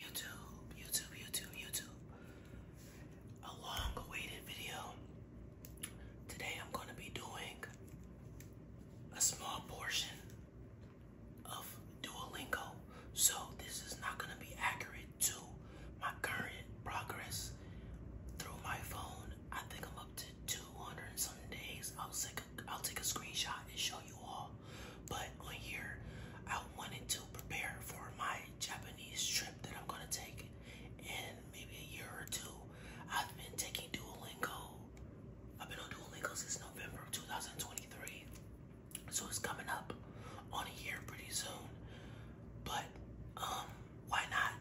YouTube, YouTube, YouTube, YouTube. A long awaited video. Today I'm going to be doing a small portion of Duolingo. So this is not going to be accurate to my current progress through my phone. I think I'm up to 200 and some days. i I'll take a screenshot and show you all. But on here, I wanted to prepare for my Japanese trip that I'm gonna take in maybe a year or two. I've been taking Duolingo. I've been on Duolingo since November of 2023. So it's coming up on a year pretty soon. But um why not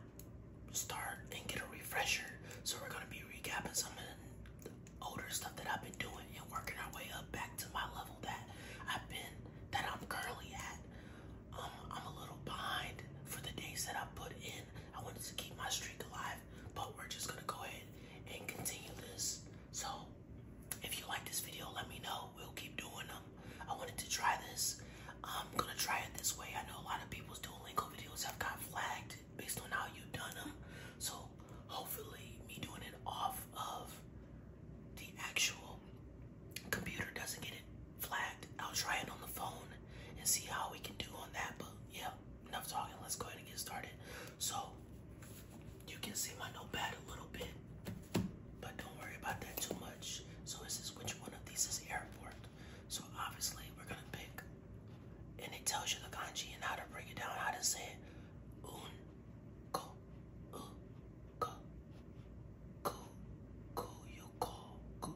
start and get a refresher? So we're gonna be recapping some of the older stuff that I've been doing and working our way up back to my level that I've been that I'm currently at. Um, I'm a little behind for the days that I put in. I wanted to keep my streak alive, but we're just gonna go ahead and continue this. So if you like this video, let me know. We'll keep doing them. I wanted to try this. I'm gonna try it this way. I know a lot of people's Duolingo videos have got flagged based on how you've done them. So hopefully me doing it off of the actual computer doesn't get it flagged. I'll try it on the phone and see how we can do on that. But yeah, enough talking. Let's go ahead and get started. So you can see my notepad a little bit, but don't worry about that too much. So this is which one of these is airport. So obviously we're gonna pick, and it tells you the kanji and how to break it down, how to say it. Go, uh, go, go, go, you go, go.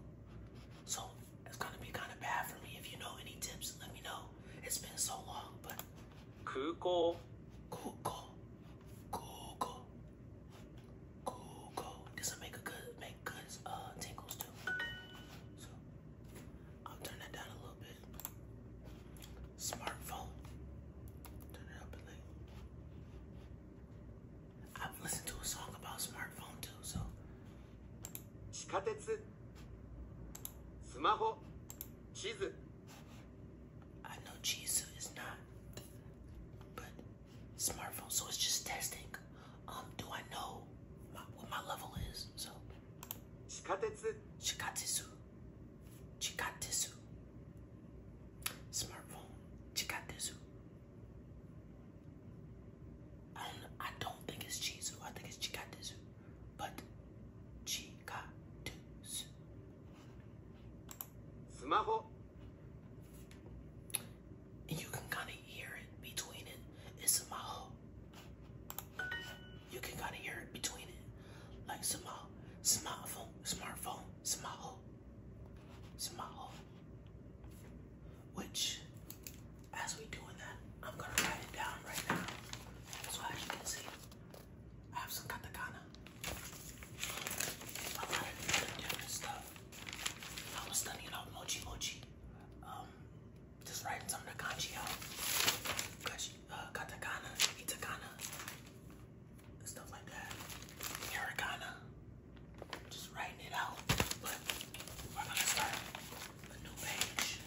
So it's gonna be kind of bad for me. If you know any tips, let me know. It's been so long, but. Google, Google, Google, Google. This will make a good, make good uh, tingles too. So I'll turn that down a little bit. Smartphone. Turn it up a little. I've listened to a song about smartphone too, so. 地下鉄スマホ地図 I know Jesus is not, but smartphone, so it's just testing. Um, do I know what my level is? So, Shikatetsu. Shikatetsu. Chikatsu. Smartphone. Chikatsu. I don't I don't think it's Chizu. I think it's Chikatsu. But Chikatsu. Smartphone. you can kind of hear it between it. It's a maho you can kind of hear it between it. Like small, uh, uh, smartphone, smartphone, small, small. Which, as we doing that, I'm gonna write it down right now. So as you can see, I have some katakana. A lot of different stuff. I was studying out mochi mochi. Um, just writing some of the kanji out. Cause uh, katakana, itakana, hiragana. Just writing it out, but we're gonna start a new page.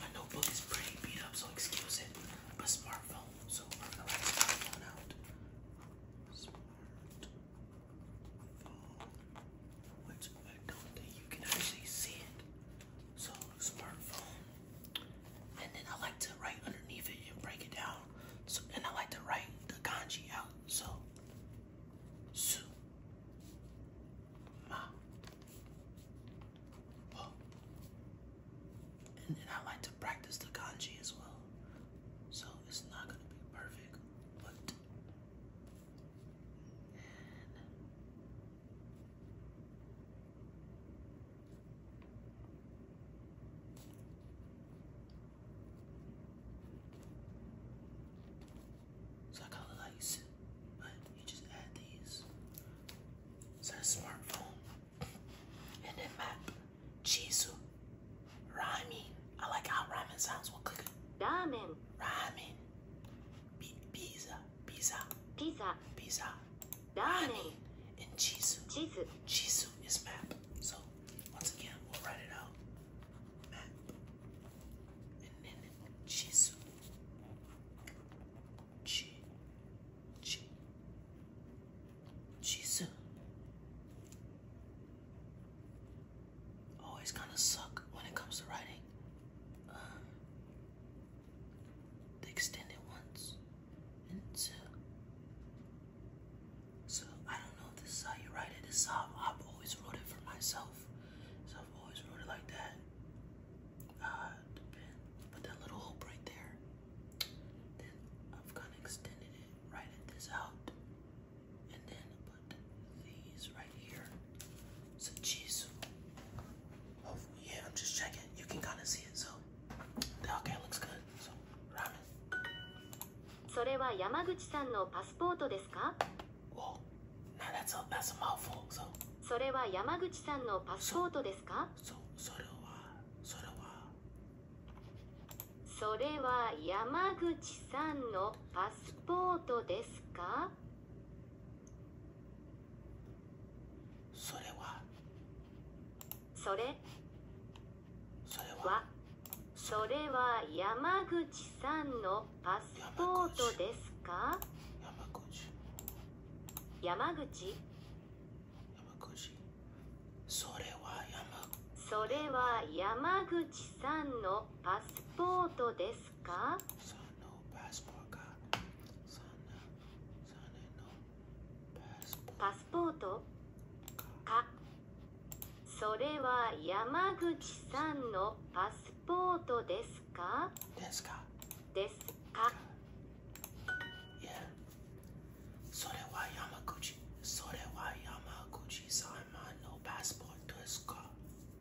my notebook is pretty beat up, so excuse it. But smartphone, so we're gonna write smartphone out. Smartphone, which I don't think you can actually see it. So smartphone. And then I like to write underneath it and break it down. So and I like to write the kanji out. So su ma po. And then I like to practice the kanji as well. So it's not gonna be perfect, but so I call it lights, but you just add these. So a smartphone. And then map. Chisu. Rhyming. I like how rhyming sounds. We'll click it. Ramen. Rhyming. Pizza pizza, pizza, pizza, ramen, and chizu. Chizu. Chizu is map. So once again, we'll write it out. Map, and then chizu. Chi, chi, Always kind of suck when it comes to writing. Um, extended once, And so, so I don't know if this is how you write it. This is I've always wrote it for myself. So I've always wrote it like that. Uh, put that little hoop right there. Then I've kind of extended it, writing this out, and then put these right here. some cheese. Hopefully, yeah, I'm just checking. You can kind of see it, so the okay looks good. So ramen. それは山口さんのパスポートですか Whoa, now that's a that's a mouthful. So それは山口さんのパスポートですか so それはそれはそれは山口さんのパスポートですかそれはそれそれはそれは山口さんのパスポートですか山口山口それは山口それは山口さんのパスポートですか？かパスポートパスポートかそれは山口さんのパスポートですかですかですかいやそれは山口それは山口さんのパスポートですか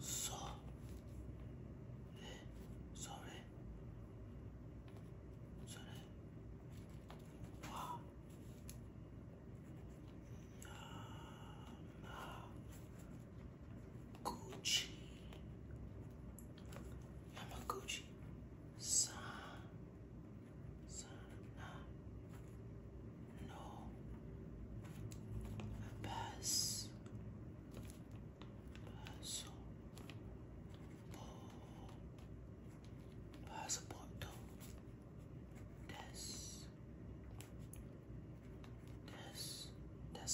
それそれそれは山口山口さんさんなの a purse, purse, passaporto, des, des,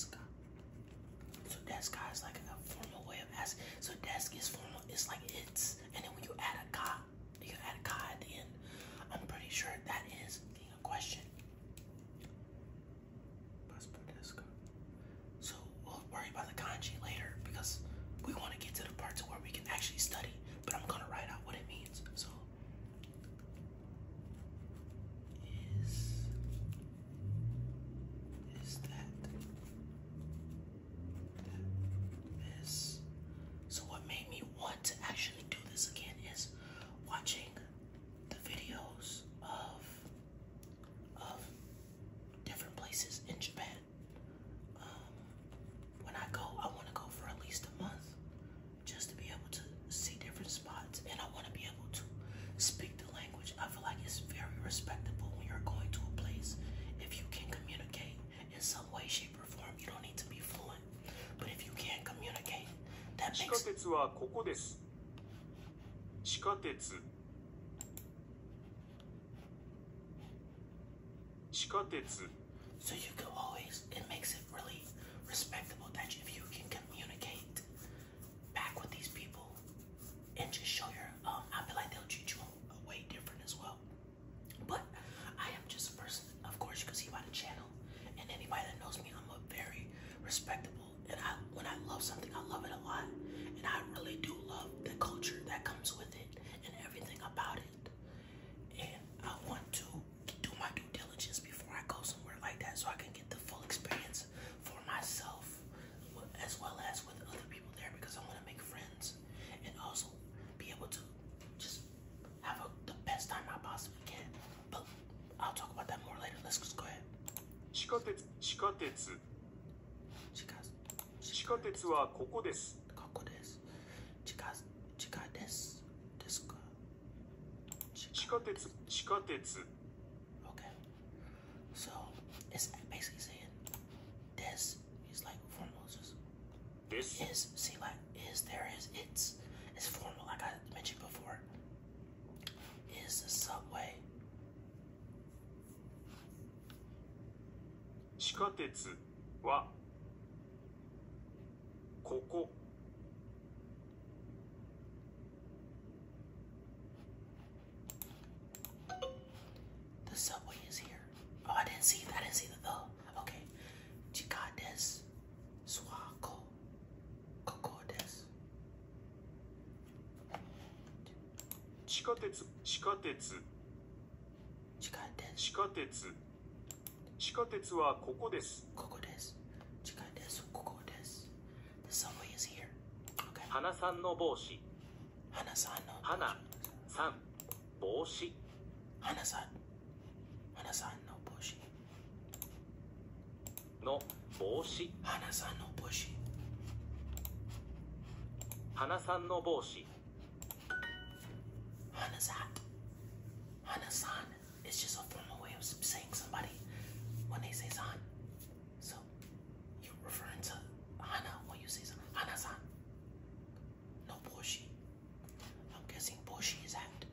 So deska is like a formal way of asking. So desk is formal. It's like it's, and then when you add a ka, you add a ka at the end. I'm pretty sure that is a question. So we'll worry about the kanji later because we want to get to the part where we can actually study. But I'm gonna write out what it means. So is is that is so what made me want to actually do this again is watching the videos of of different places in Japan. Um, when I go, I want to go for at least a month just to be able to see different spots, and I want to be able to speak the language. I feel like it's very respectable when you're going to a place if you can communicate in some way, shape, or form. You don't need to be fluent one. But if you can't you can always, it makes it really respectable that if you can communicate back with these people and just show your, um, I feel like they'll treat you way different as well. But I am just a person, of course, you can see by the chat channel. And anybody that knows me, I'm a very respectable. And I, when I love something, I love it a lot. And I really do love the culture that comes with it and everything about it. And I want to do my due diligence before I go somewhere like that so I can get the full experience for myself as well as with other people there because I want to make friends and also be able to just have a, the best time I possibly can. But I'll talk about that more later. Let's just go ahead. 地下鉄、地下鉄。地下鉄はここです。ここです。地下、地下です。ですか。地下鉄、地下鉄。Okay. So it's basically saying this is like foremost. This is see like is there is it's it's formal like I mentioned before. Is the subway. 地下鉄はここ The subway is here. Oh, I didn't see that. I didn't see the though. Okay. Chikades ここです地下鉄地下鉄地下鉄地下鉄地下鉄はここですここです地下鉄ここで The subway is here、okay. 花さんの帽子花さんの花さん帽子花さん花さんの帽子の帽子花さんの帽子花さんの帽子花さん花さん is just a formal way of saying somebody when they say san so you're referring to hana when you say hana san no boshi I'm guessing boshi is out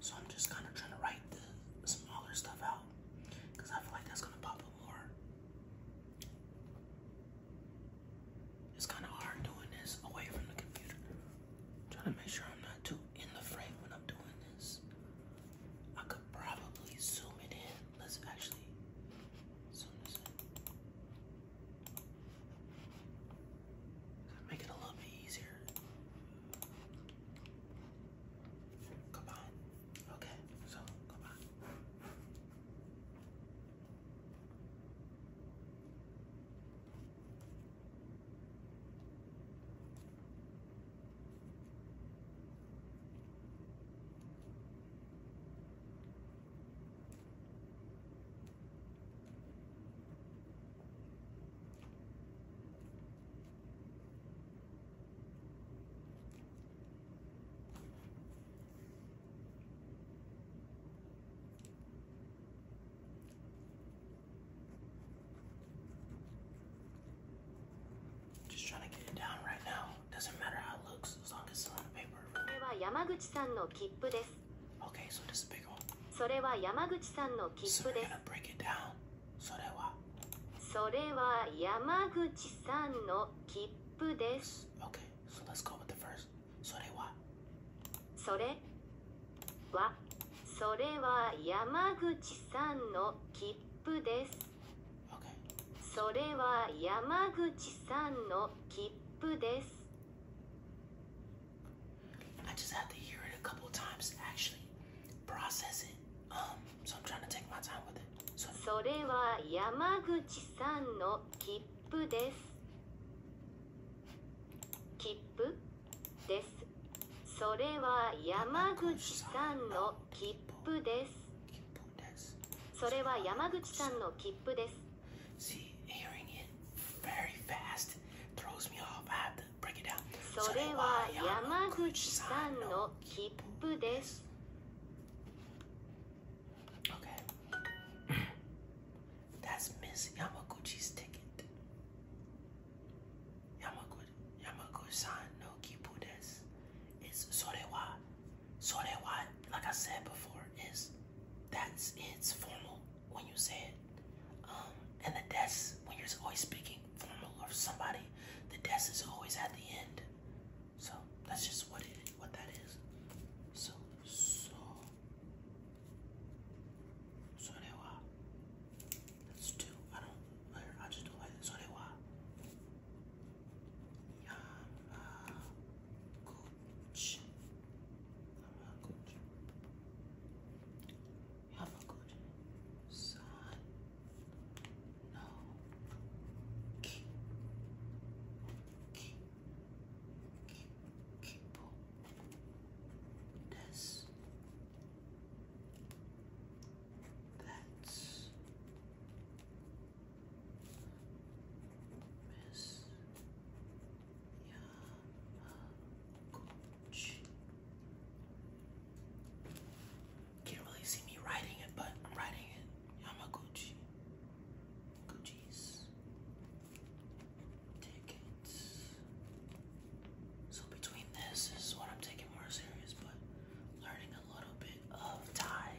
So I'm just kind of trying to write the smaller stuff out because I feel like that's gonna pop up more. It's kind of hard doing this away from the computer. i trying to make sure I'm not too in the frame when I'm doing this. I could probably zoom it in. Let's actually zoom this in. Make it a little bit easier. Come on. Okay, so come on. Just trying to get it down right now. Doesn't matter how it looks, as long as it's on the paper. Okay, so this is a big one. それは山口さんの切符です。So break it down. それはそれは山口さんの切符です。Okay, so let's go with the first. それはそれはそれは山口さんの切符です。Okay. それは山口さんの切符です。I just have to hear it a couple times to actually process it. Um, so I'm trying to take my time with it. So それは山口さんの切符です。切符です。それは山口さんの切符です。それは山口さんの切符です。See, hearing it very fast throws me off. I have to break it down. それは山口さんの切符です。Okay. That's Miss Yamaguchi's ticket. Yamaguchi, Yamaguchi-san no kipu desu. It's それは so that why, like I said before, is that's it's formal when you say it. Um, and the des when you're always speaking formal or somebody, the des is always at the end. So that's just what it what that is. So so so That's two. I don't I just don't like this. So they why. Uh, Shh. I'm not good. You have a good son. No. Keep. Miss Yamaguchi. Can't really see me writing it, but writing it. Yamaguchi. Gucci's tickets. So between this, this is what I'm taking more serious, but learning a little bit of Thai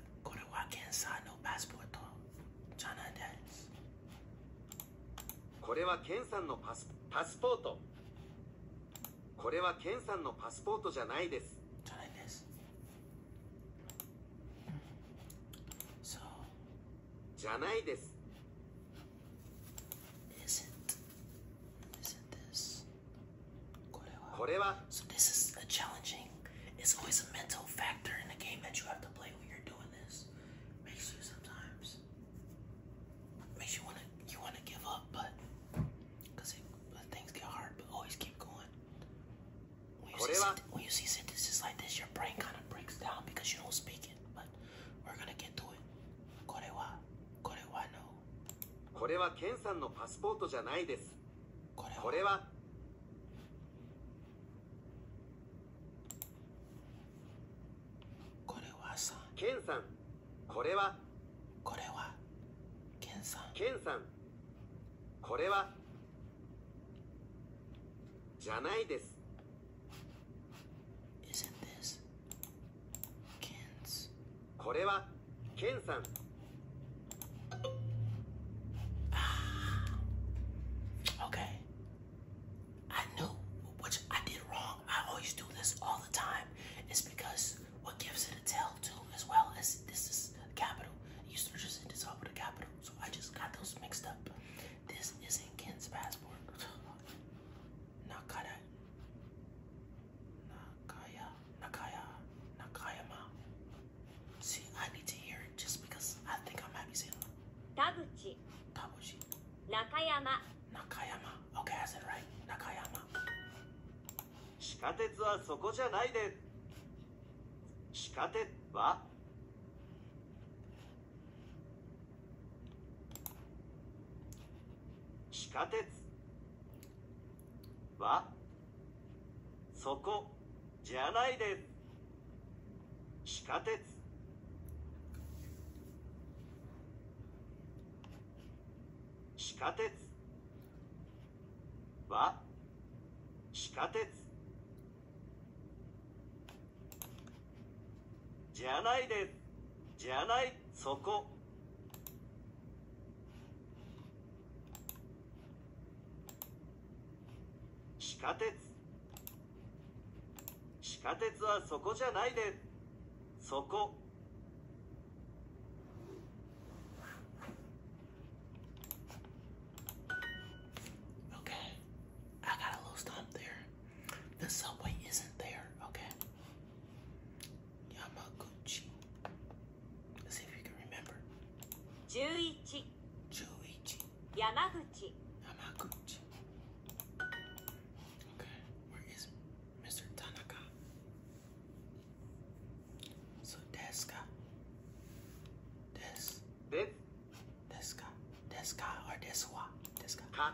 これは検査スケンさんのパスポートこれはケンさんのパスポートじゃないですじゃないですじゃないです So this is a challenging. It's always a mental factor in the game that you have to play when you're doing this. Makes you sometimes makes you wanna you wanna give up, but because things get hard, but always keep going. When you, see, when you see sentences like this, your brain kind of breaks down because you don't speak it. But we're gonna get to it. Korewa, korewa これはケンさんのパスポートじゃないですこれはケンさんこれはケンさんケンさんこれはじゃないですこれはケンさん Nakaya, Nakaya, Nakayama. See, I need to hear it just because I think I might be saying it. Taguchi. Taguchi. Nakayama. Nakayama. Okay, I said right. Nakayama. 地下鉄はそこじゃないで。地下鉄は地下鉄「わ」「そこじゃないです地下鉄地下鉄は地下鉄じゃないですじゃないそこ地下鉄地下鉄はそこじゃないでそこ Eleven. Eleven. Yamaguchi. Yamaguchi. Okay, where is Mr. Tanaka? So deska. Des. Des. Deska. Deska or deswa. Deska. Ka.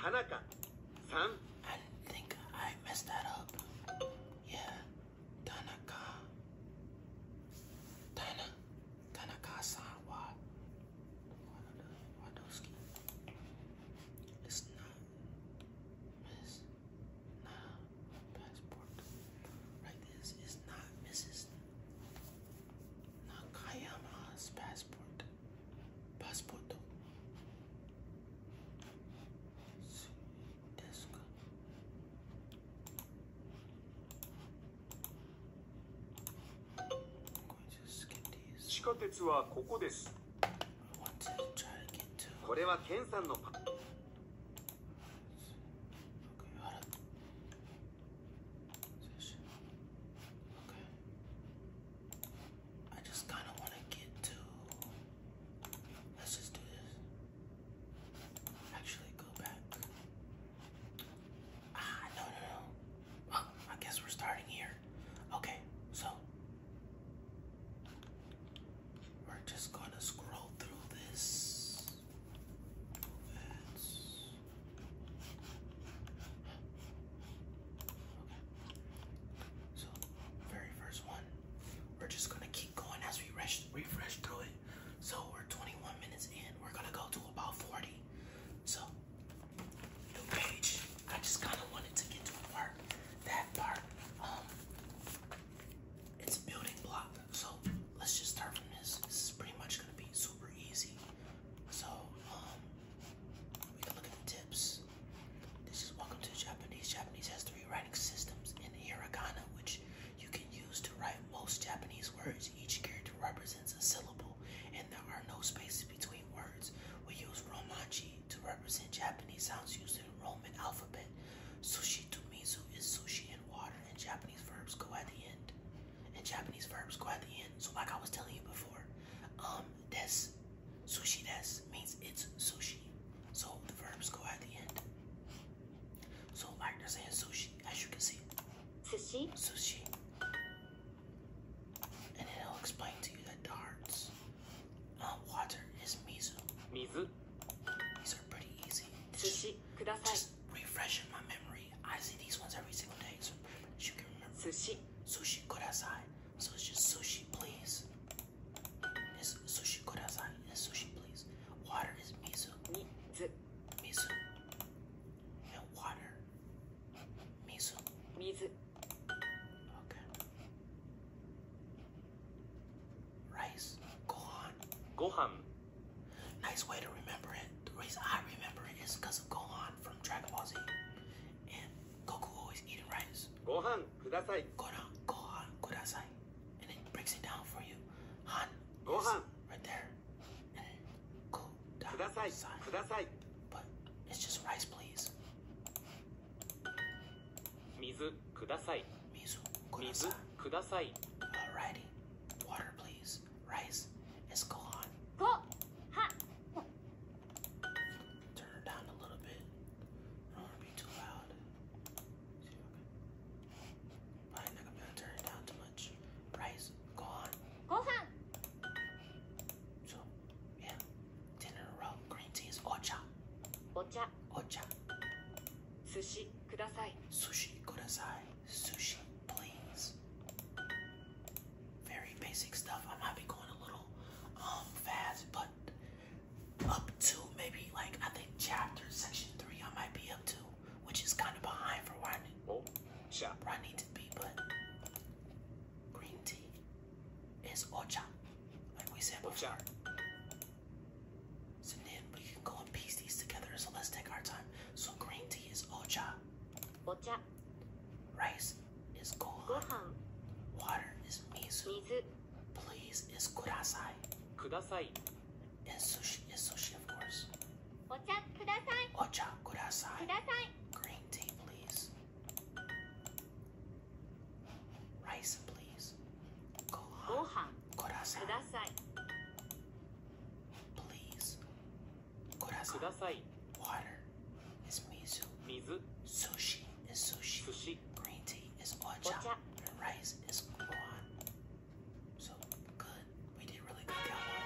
Tanaka, san. I think I messed that up. Yeah, Tanaka. Tana, Tanaka-san wa Wadoski. It's not. Miss. Not passport. Like this. It's not Mrs. Nakayama's passport. Passport. Desk. I'm going to skip these. 地下鉄はここです。これはケンさんのパ。Okay. I just kind of want to get to. Let's just do this. Actually, go back. Ah, no, no, no. Oh, I guess we're starting here. Okay, so. We're just gonna scroll through this. So, very first one, we're just gonna keep going as we refresh, through it. So we're 21 minutes in. We're gonna go to about 40. So, new page. I just kind of wanted to get to That part. Um, it's building block. So let's just start from this. This is pretty much gonna be super easy. So, um, we can look at the tips. This is Welcome to Japanese. Japanese has three writing systems in hiragana, which you can use to write most Japanese words. Each character represents a syllable, and there are no spaces between words. We use romaji to represent Japanese sounds used in Roman alphabet. Sushi to mizu is sushi and water, and Japanese verbs go at the end and Japanese verbs go at the end. So like I was telling you before, um, des, sushi des means it's sushi. So the verbs go at the end. So like they're saying sushi, as you can see. Sushi. Sushi. And then I'll explain to you that darts, um, water is mizu. Mizu. These are pretty easy. Sushi. Just refreshing my memory memory. I see these ones every single day, so you can remember. Sushi. Sushi kudasai. So it's just sushi, please. It's sushi kudasai. It's sushi, please. Water is miso. Mizu. Mizu. And water. Miso. Mizu. Okay. Rice. Gohan. Gohan. Nice way to remember it. The reason I remember it is because of Gohan from Dragon Ball Z. And Goku always eating rice. Gohan, kudasai. Gohan, Gohan, kudasai. And it breaks it down for you. Han. Gohan. Right there. And kudasai. Kudasai. But it's just rice, please. Mizu, kudasai. Mizu, kudasai. Alrighty. Water, please rice is gone. Go. Ha. Turn it down a little bit. I don't want to be too loud. Probably not gonna turn it down too much. Rice gone. Go ha. So yeah, ten in a row. Green tea is ocha. Ocha. Ocha. Sushi kudasai. Sushi kudasai sushi, please. Very basic stuff. I might be going a little um, fast, but up to maybe like I think chapter section three I might be up to, which is kind of behind for where I need, oh, shop where I need to be. But green tea is ocha, like we said before. So then we can go and piece these together. So let's take our time. So green tea is ocha. Ocha. Rice is gohan. Water is mizu. Please is kudasai. Kudasai. And sushi is sushi, of course. Ocha kudasai. Ocha kudasai. Kudasai. Green tea, please. Rice, please. Gohan. Gohan. Kudasai. Please. ください Water is mizu. 水 Sushi is sushi. 寿司 Green tea is ocha. お茶 And rice is guan. So good. We did really good, Cowboy.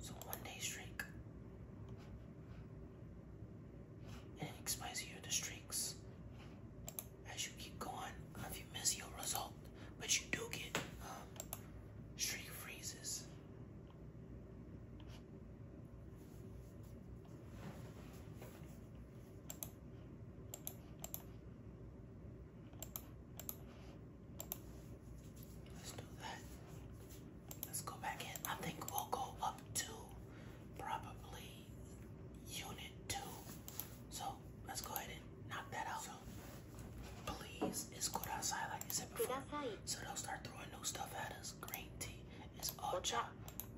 So one day streak. And it explains to you the streaks as you keep going, uh, if you miss your result, but you do get um, streak freezes. Let's do that. Let's go back in. I think we'll go up to probably unit two. So let's go ahead and knock that out. please, it's cold outside like I said before. So they'll start throwing new stuff at us. Green tea is ocha,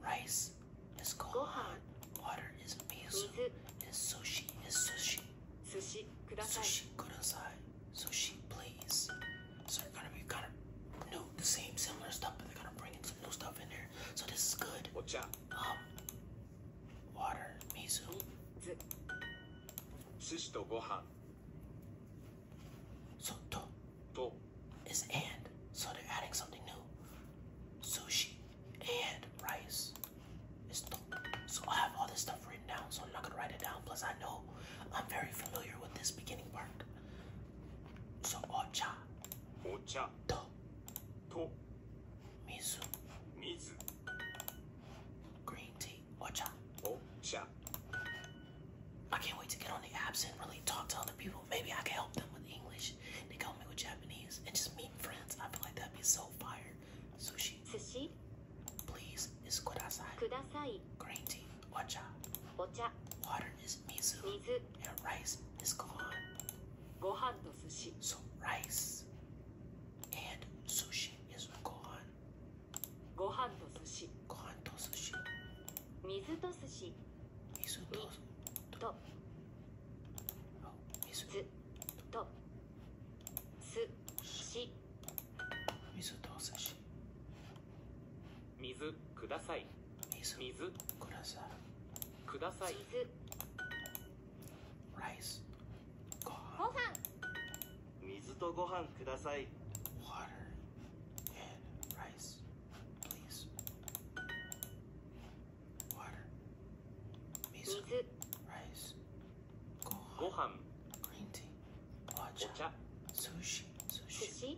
rice is gohan, water is miso, is sushi is sushi. Sushi Sushi kudasai. Sushi, please. So they're gonna be kind of new, the same similar stuff, but they're gonna bring in some new stuff in there. So this is good. Watch out. Um, water, miso. Sushi to gohan. So to, to is and, so they're adding something new. Sushi and rice is to. So I have all this stuff written down, so I'm not gonna write it down. Plus I know I'm very familiar with this beginning part. So ocha. Ocha. To. と水水グリーンティーお茶お茶 I can't wait to get on the apps and really talk to other people. Maybe I can help them with English. They help me with Japanese and just meet friends. I feel like that'd be so fire. Sushi. Sushi. Please is Green tea. Ocha. Ocha. Water is mizu. Mizu. And rice is gone. Gohan to sushi. So rice and sushi is gohan. Gohan to sushi. Gohan to sushi. Mizu to sushi. Mizu to to. Oh, mizu. To. Sushi. Mizu to sushi. Mizu kudasai. Mizu. Mizu kudasai. ください水ライスご飯水とご飯ください Water and rice please Water 水 rice ご飯ご飯 green tea お茶 sushi sushi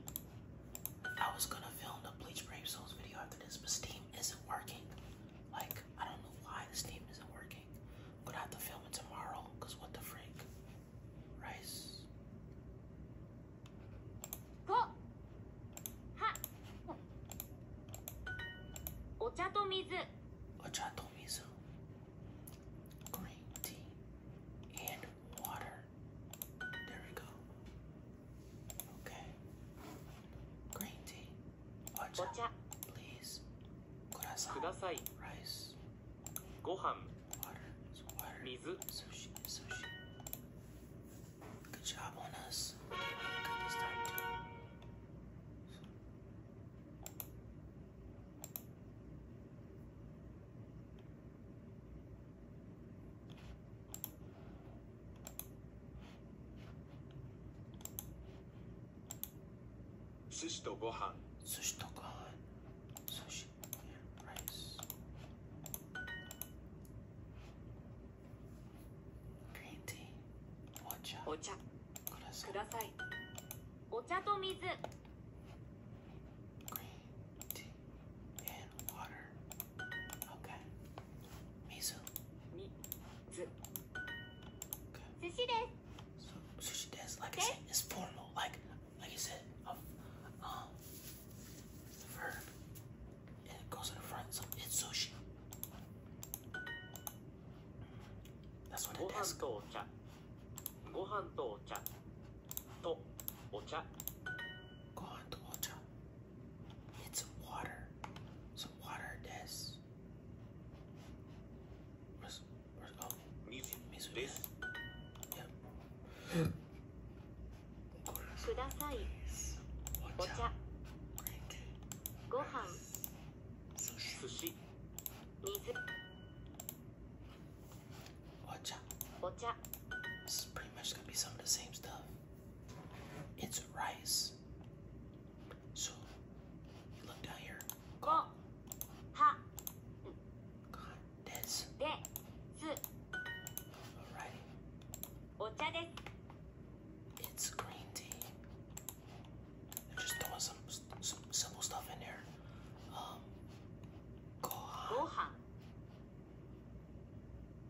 I was gonna film the Bleach Brave Souls video after this, but Steam isn't working. Like, I don't know why the Steam isn't working. I'm gonna have to film it tomorrow, because what the freak? Rice. Go! Ha! Ocha to mizu. Ocha to mizu. Green tea and water. There we go. Okay. Green tea. Ocha. Please. Kurasan. Rice. Gohan. Water. It's water. Good job on us. Good this time 寿司とご飯寿司とご飯寿司 and rice green tea お茶お茶くださいお茶と水 green t and Sushi desu. sushi desu, like I said, it's formal. Like, like you said, um, verb. goes in front, so it's sushi. That's what it is. ご飯とお茶とお茶ご飯とお茶 it's water. Some water this. Where's where's oh music music. Yep. Kudasai. Ocha. Gohan. Sushi. Mizu. Ocha. Ocha. It's pretty much gonna be some of the same stuff. It's rice. So look down here. Go. Ha. God, this. Alrighty. It's green tea. They're just throwing some, simple stuff in there. Um, gohan. Gohan.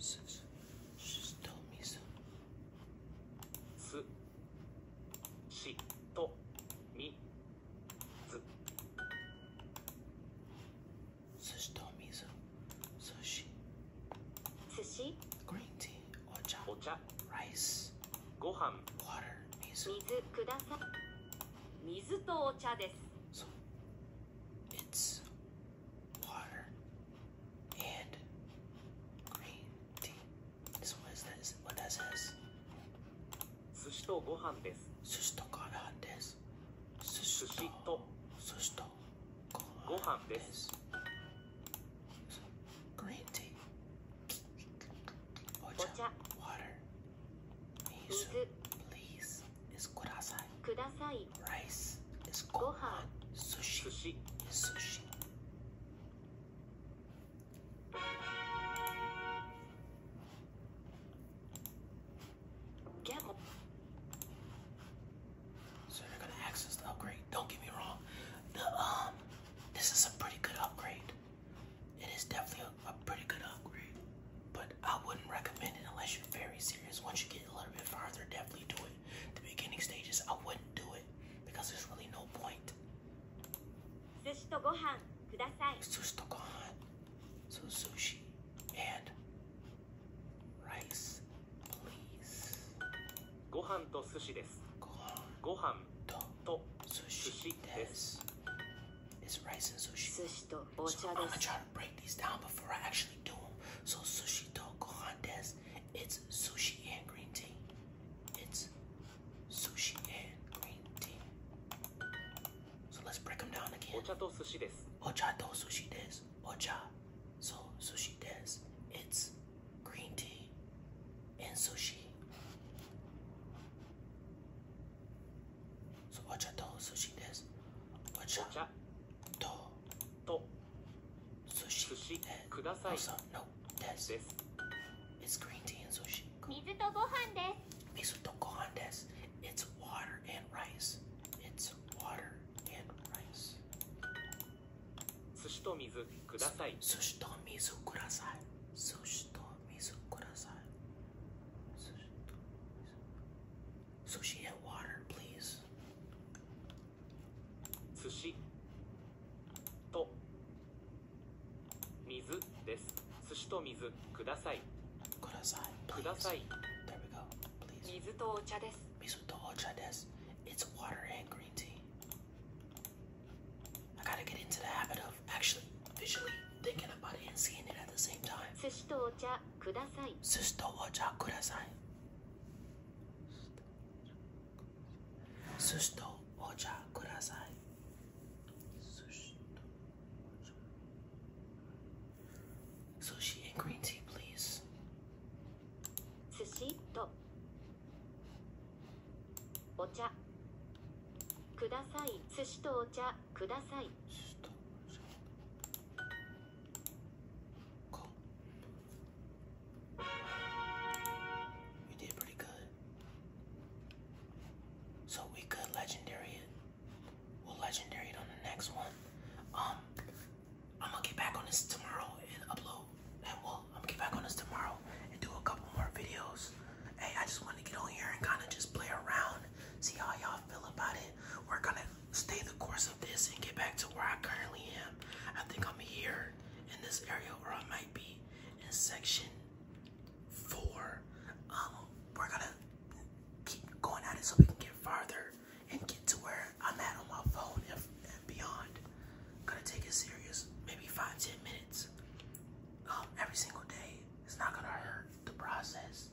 しとみさすしとみずすしとみず寿司寿司グリーンティーお茶お茶ライスご飯ワ水水水とお茶です It's water and green tea. So what is this? What does this? Sushi to gohan Sushi to gohan Sushi to sushi Green tea. Water. Please is kudasai. Sushi. Sushi sushi. Get So you're gonna access the upgrade. Don't get me wrong. The um, this is a pretty good upgrade. It is definitely a pretty good upgrade but I wouldn't recommend it unless you're very serious. Once you get a little bit farther, definitely do it. The beginning stages, I wouldn't do it because there's really no point. Sushi to gohan, kudasai. Sushi to gohan. sushi and rice, please. sushi desu. Gohan. sushi desu. rice break these down before I actually do them. So sushi to gohan des, it's sushi and green tea. It's sushi and green tea. So let's break them down again. Ocha to sushi des. Ocha to sushi des. Ocha. So sushi des. It's green tea and sushi. So ocha to sushi des. Ocha. だとと寿司寿司ください no, this. this it's green tea and sushi 水とご飯です水とご飯です it's water and rice it's water and rice 寿司と水ください寿司と水ください寿司と水ください寿司と水 Sushi and water, please. Sushi. To. Mizu Sushi to mizu kudasai. please. There we go. Please. water and green tea. I gotta get into the habit of actually visually thinking about it and seeing it at the same time. Sushi to ocha. ください寿司とお茶ください寿司とお茶ください寿司とお茶 Sushi and green tea, please 寿司とお茶ください寿司とお茶ください寿司とお茶 Cool. You did pretty good. So we could legendary it. We'll legendary it on the next one. Um, I'm gonna get back on this tomorrow and upload. And well, I'm gonna get back on this tomorrow and do a couple more videos. Hey, I just wanted to get on here and kind of just play around, see how y'all feel about it we're gonna stay the course of this and get back to where I currently am. I think I'm here in this area where I might be in section four. Um, we're gonna keep going at it so we can get farther and get to where I'm at on my phone and, beyond. gonna take it serious, maybe five, ten minutes. Um, every single day. It's not gonna hurt the process.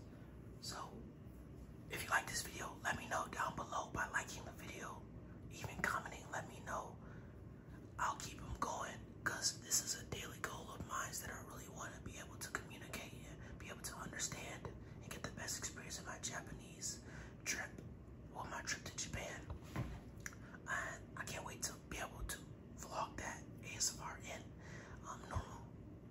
So if you like this video, let me know down below by liking the video, even commenting, let me know. I'll keep them going because this is a daily goal of mine that I really want to be able to communicate and be able to understand and get the best experience of my Japanese trip or my trip to Japan. I can't wait to be able to vlog that ASMR in um, normal